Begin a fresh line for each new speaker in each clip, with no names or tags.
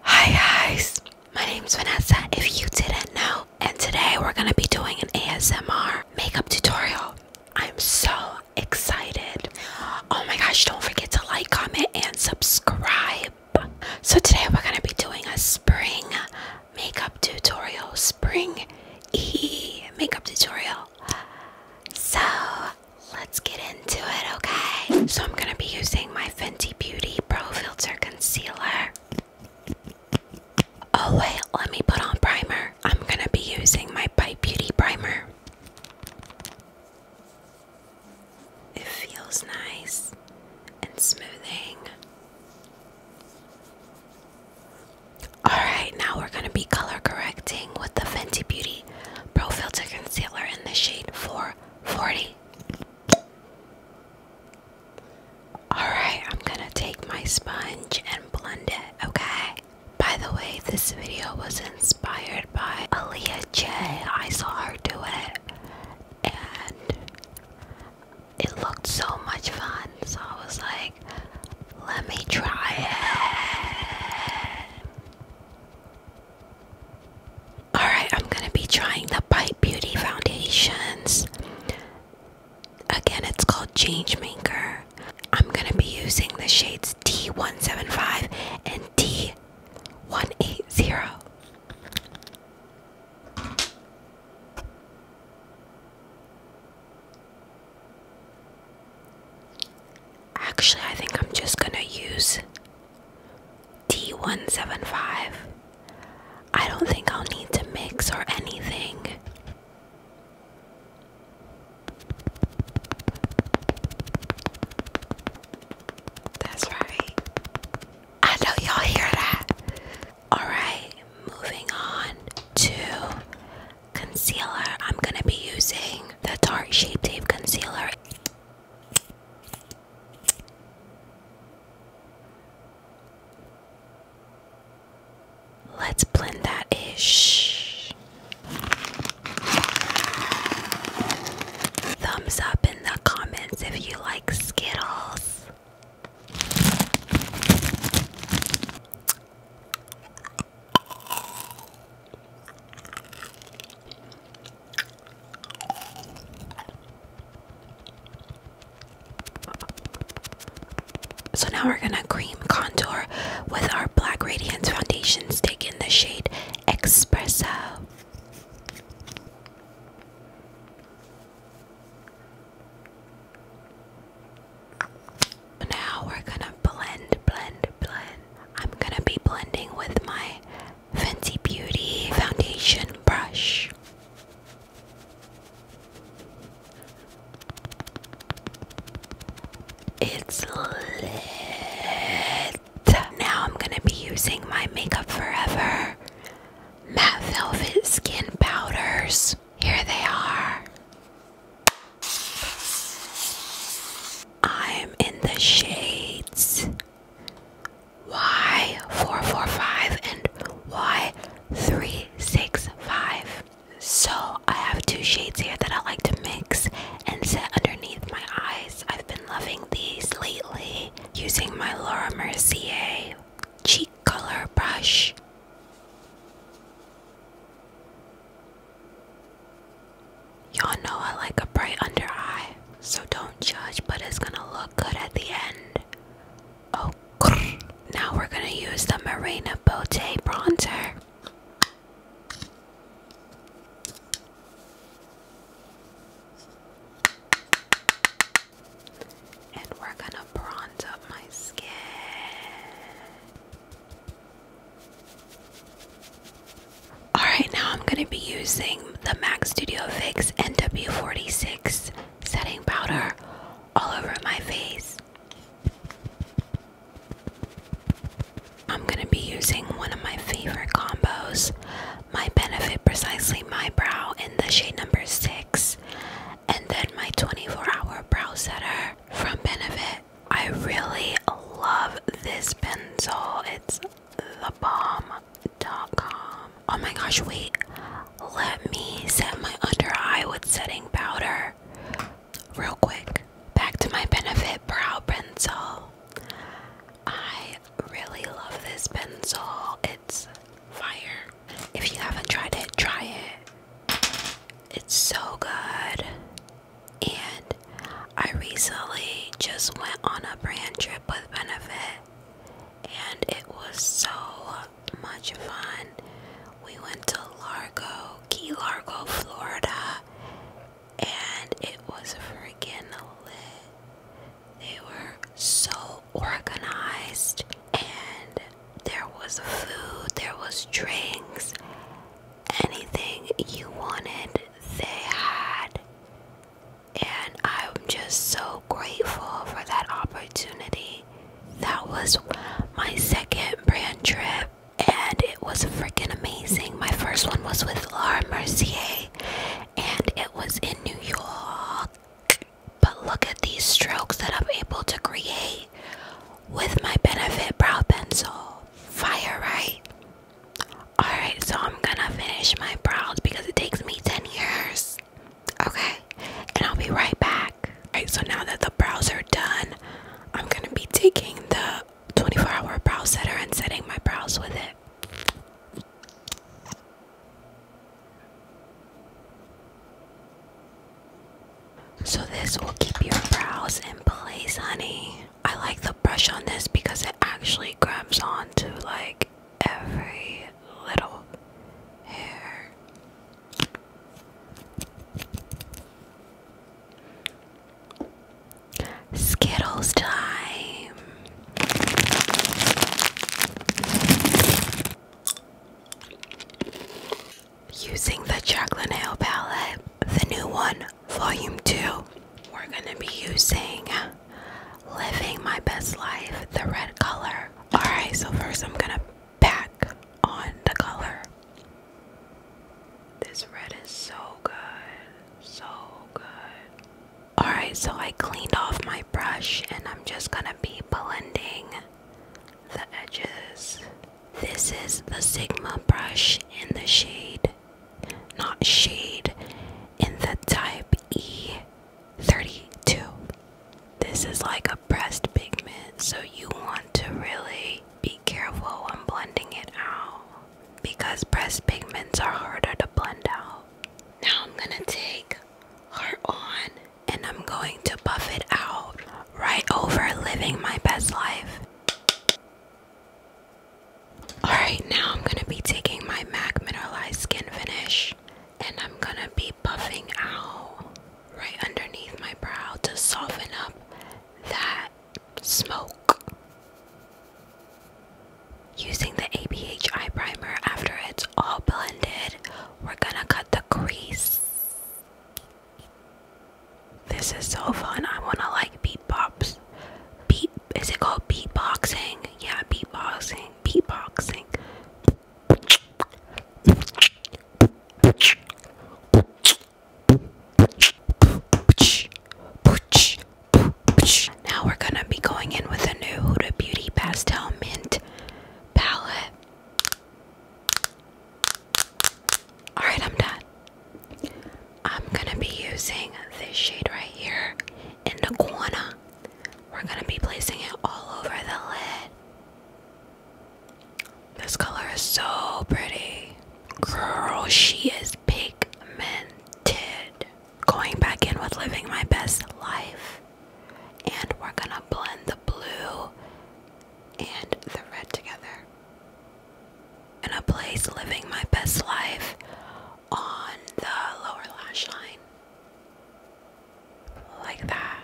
Hi guys, my name's Vanessa if you didn't know, and today we're gonna be doing an ASMR makeup tutorial. I'm so excited. Oh my gosh, don't forget to like, comment, and subscribe. So today we're gonna be doing a spring makeup tutorial spring e makeup tutorial. So let's get into it, okay? So I'm gonna be using my Fenty Beauty Pro Filter Concealer. Oh wait, let me put on primer. I'm gonna be using my Bite Beauty Primer. It feels nice and smoothing. Alright, now we're going to be color correcting with the Fenty Beauty Pro Filter Concealer in the shade 440. Alright, I'm going to take my sponge and blend it, okay? By the way, this video was inspired by Aaliyah J. I saw her do it, and it looked so much fun, so I was like, let me try it. Alright, I'm gonna be trying the Bite Beauty Foundations. Again, it's called Changemaker. I'm gonna be using the shades D 175 and D 180 Actually, I think I'm just gonna use D175. I don't think I'll need to mix or anything. That's right. I know y'all hear that. Alright, moving on to concealer. I'm going to be using the Tarte Shape Tape Concealer. Let's blend that ish. Thumbs up in the comments if you like Skittles. So now we're gonna cream contour with our Black Radiance foundation stick in the shade Espresso. Now we're gonna blend, blend, blend. I'm gonna be blending with my Fancy Beauty foundation brush. It's lit. Now I'm gonna be using my Makeup Forever matte velvet skin powders. Here they are. I'm in the shades Y445 and Y365. So I have two shades here that I like to mix and set underneath my eyes. I've been loving these lately using my Laura Mercier cheek color brush. Y'all know I like a bright under eye, so don't judge, but it's gonna look good at the end. Oh, now we're gonna use the Marina Botte bronzer. And we're gonna bronze up my skin. Alright, now I'm gonna be using the MAC Studio Fix NW46 setting powder all over my face. I'm gonna be using one of my favorite combos my benefit precisely my brow in the shade number 6 and then my 24 hour brow setter from benefit i really love this pencil it's the bomb. Dot com. oh my gosh wait let me set my under eye with setting powder real quick back to my benefit brow pencil I I really love this pencil. It's fire. If you haven't tried it, try it. It's so good. And I recently just went on a brand trip with Benefit, and it was so much fun. We went to Largo, Key Largo, Florida, and it was freaking lit. They were so organized, and there was food, there was drinks, anything you wanted, they had. And I'm just so grateful for that opportunity. That was my second brand trip, and it was freaking amazing. My first one was with Laura Mercier, and it was in New York. But look at these strokes that I'm able to create with my Benefit Brow Pencil. Fire, right? Alright, so I'm gonna finish my brows because it takes me 10 years. Okay, and I'll be right back. Alright, so now that the brows are done, I'm gonna be taking the 24 hour brow setter and setting my brows with it. So this will keep your brows in place, honey. I like the brush on this because it actually grabs onto like every little hair. Skittles time. Using the Jaclyn Hill palette, the new one, volume 2, we're gonna be using Living My Best Life, the red color. Alright, so first I'm gonna pack on the color. This red is so good. So good. Alright, so I cleaned off my brush and I'm just gonna be blending the edges. This is the Sigma brush in the shade, not shade, in the type E32. This is like a pressed pigment, so you want to really be careful when blending it out because pressed pigments are harder to blend out. Now I'm gonna take heart on and I'm going to buff it out right over living my best life. Alright, now I'm gonna be taking my MAC Mineralized Skin Finish and I'm gonna be buffing out right underneath my brow to soften up that Smoke. Using the ABHI eye primer after it's all blended, we're gonna cut the crease. This is so fun. I wanna like beat pops. Beat is it called beatboxing? Yeah, beatboxing. Beatboxing. Now we're gonna be going in with a new Huda Beauty Pastel Mint palette. Alright, I'm done. I'm gonna be using this shade right here in the corner. We're gonna be placing it all over the lid. This color is so pretty. Girl, she is pigmented. Going back in with living my best life. And we're gonna blend the blue and the red together. And a place living my best life on the lower lash line. Like that.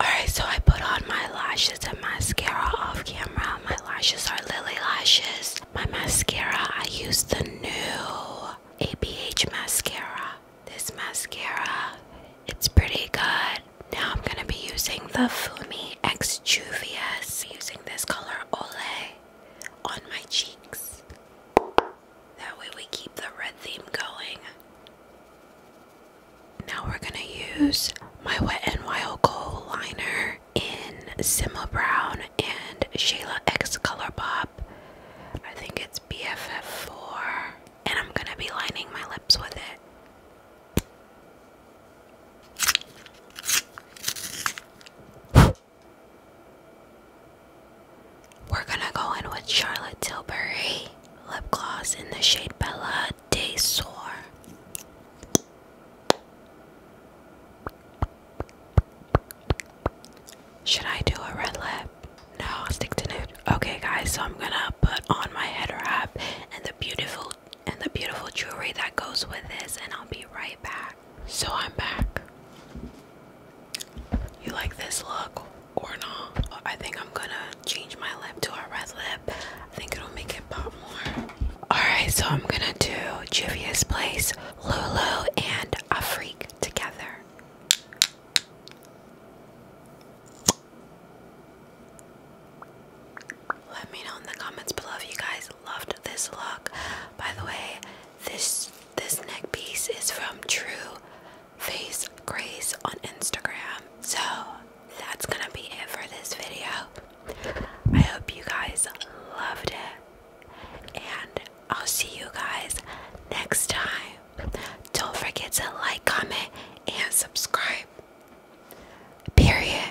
Alright, so I put on my lashes and mascara off camera. My lashes are Lily Lashes. My mascara, I use the new ABH mascara. This mascara, it's pretty good. Now I'm gonna be using the Fumi X Juvia's. Using this color Olay on my cheeks. That way we keep the red theme going. Now we're gonna use my Wet n Wild Gold liner in Sima Brown and Shayla X Color Pop. I think it's BFF4, and I'm gonna be lining my lips with it. We're gonna go in with Charlotte Tilbury lip gloss in the shade Bella day sore. Should I do a red lip? No, I'll stick to nude. Okay guys, so I'm gonna put on my head wrap and the beautiful and the beautiful jewelry that goes with this and I'll be right back. So I'm back. You like this look or not? I think I'm gonna change my lip to a red lip. I think it'll make it pop more. Alright, so I'm gonna do Juvia's Place, Lulu, and A Freak together. Let me know in the comments below if you guys loved this look. By the way, this this neck piece is from True Face Grace on Instagram. So that's gonna be it for this video. I hope you guys loved it, and I'll see you guys next time. Don't forget to like, comment, and subscribe. Period.